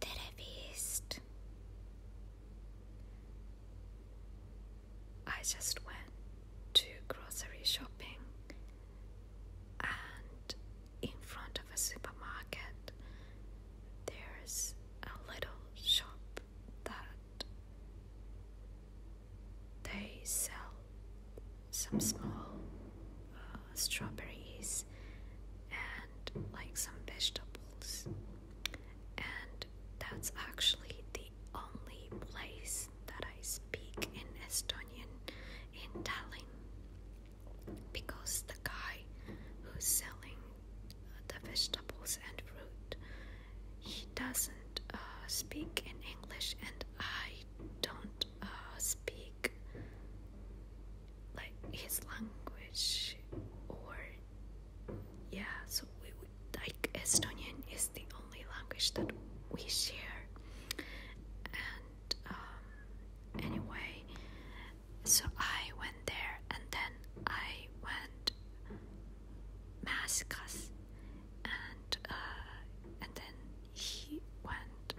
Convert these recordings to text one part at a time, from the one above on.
Therapist. I just went to grocery shopping and in front of a supermarket there's a little shop that they sell some small uh, strawberries and like some vegetables. And that's actually the only place that I speak in Estonian in Tallinn because the guy who's selling the vegetables and fruit he doesn't uh, speak in English and I don't uh, speak like his language or yeah so we like Estonian is the only language that we share and um, anyway so I went there and then I went mass and uh, and then he went.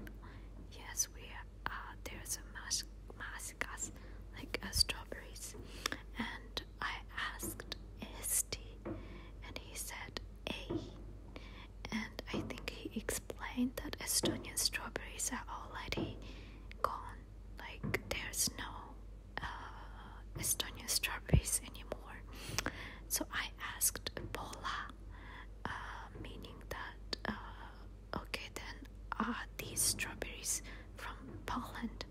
Yes, we uh, there's a mas mascas like uh, strawberries, and I asked tea, and he said a, and I think he explained that Estonian strawberries are already gone. Like there's no uh, Estonian strawberries anymore. So I asked Paula, uh, meaning that, uh, okay, then are these strawberries from Poland?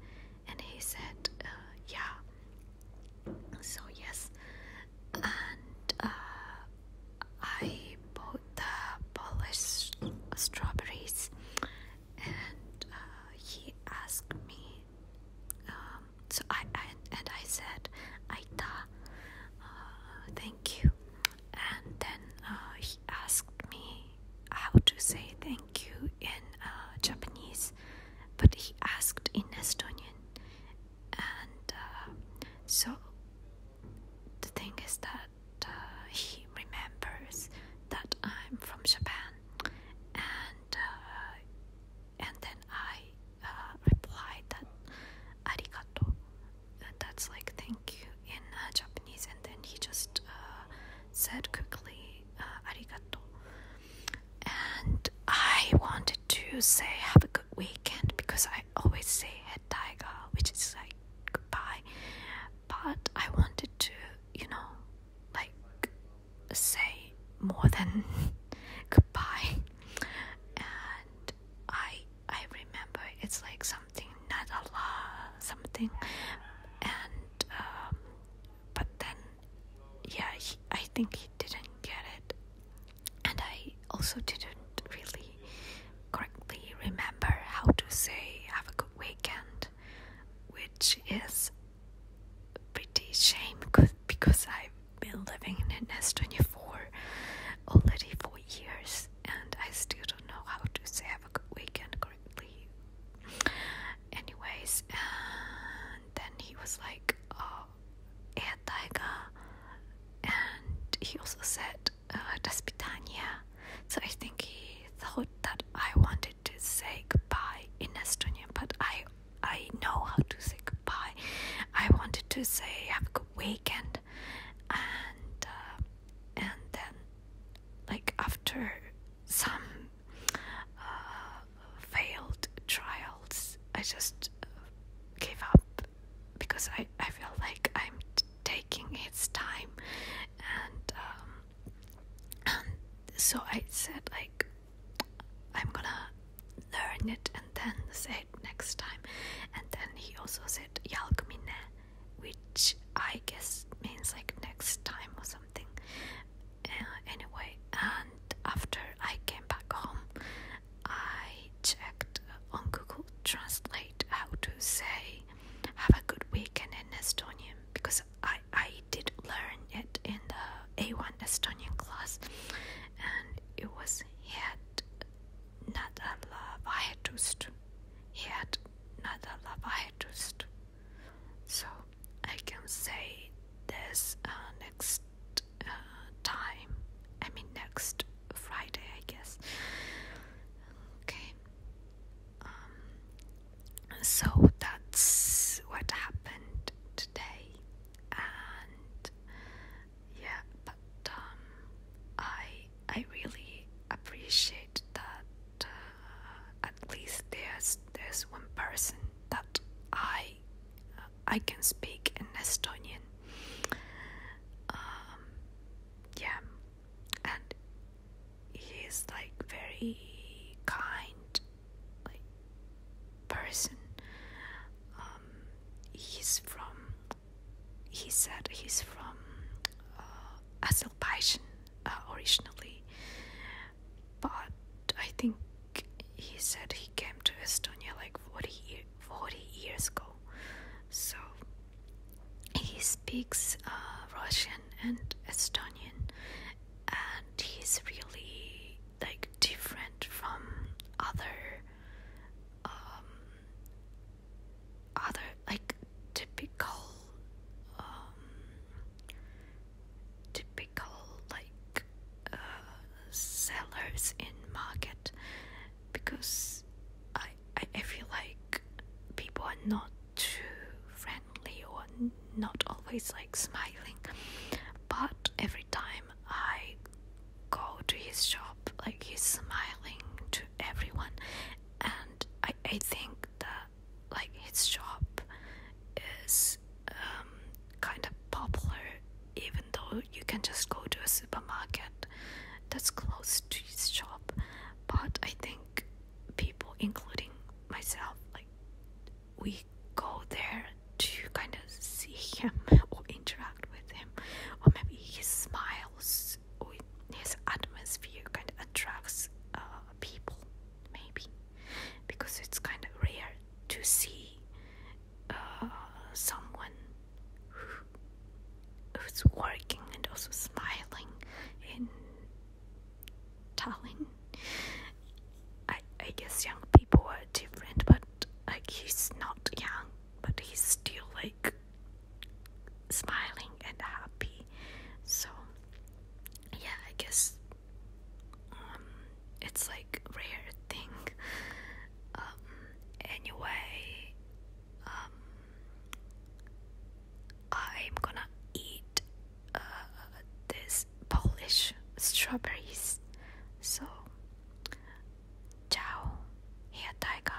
And he said, uh, yeah. So, yes. And I bought the Polish strawberries, and he asked me um, so I, I and I said Aita, uh, thank you. And then uh, he asked me how to say thank you in uh, Japanese, but he asked in Estonian. And uh, so the thing is that he remembers that I'm from Japan and uh, and then I uh, replied that arigato, that's like thank you in uh, Japanese, and then he just said quickly arigato, and I wanted to say have a good weekend because I always say hetaiga, which is like goodbye, but I wanted to you know like say more than goodbye and I I remember it's like something not Allah something and um, but then yeah I think he didn't get it and I also didn't really correctly remember how to say have a good weekend which is pretty shame because I've been living in an S24 already for years and I still don't know how to save a good weekend correctly. Anyways, then he was like, oh, yeah, Taiga. And he also said, uh, das So I think he thought that I wanted to say goodbye in Estonian, but I I know how to say goodbye. I wanted to say have a good weekend, and uh, and then like after some uh, failed trials, I just gave up because I I feel like I'm taking its time um, and so I said like I'm gonna learn it and then say it next time and then he also said yalkumine which I guess means like next time or something uh, anyway and after I came back home I checked on Google Translate how to say have a good weekend in Estonian because I, I did learn it in the A1 Estonian class and it was yet not I had head nädala vahetust head nädala vahetust so I can say this uh, next uh, time I mean, next Friday, I guess. Okay. Um, so that's what happened today, and yeah, but um, I I really appreciate that uh, at least there's there's one person that I I can speak in Estonian. Um, yeah, and he like very kind, like person. Um, he's from. He said he's from uh, Azerbaijan uh, originally, but I think he said he came to Estonia like like 40, 40 years ago. So he speaks uh, Russian and Estonian, and he's really like different from other um, other like typical um, typical typical like uh, sellers in market because I, I I feel like people are not too friendly or not always like smiling. But every time I go to his shop, like he's smiling to everyone, and I I think that like his shop is um, kind of popular even though you can just go to a supermarket that's close to his shop but i think people including myself like we go there to kind of see him or interact with him or maybe he smiles or his atmosphere kind of attracts uh, people maybe because it's kind of rare to see uh, someone who's working and also smiling in Tallinn. I, I guess young people are different, but like he's not young, but he's still like smiling and happy. So, yeah, I guess um, it's like rare thing. Um, anyway, um, I'm gonna eat uh, this Polish strawberries. So, ciao, here, Tiger.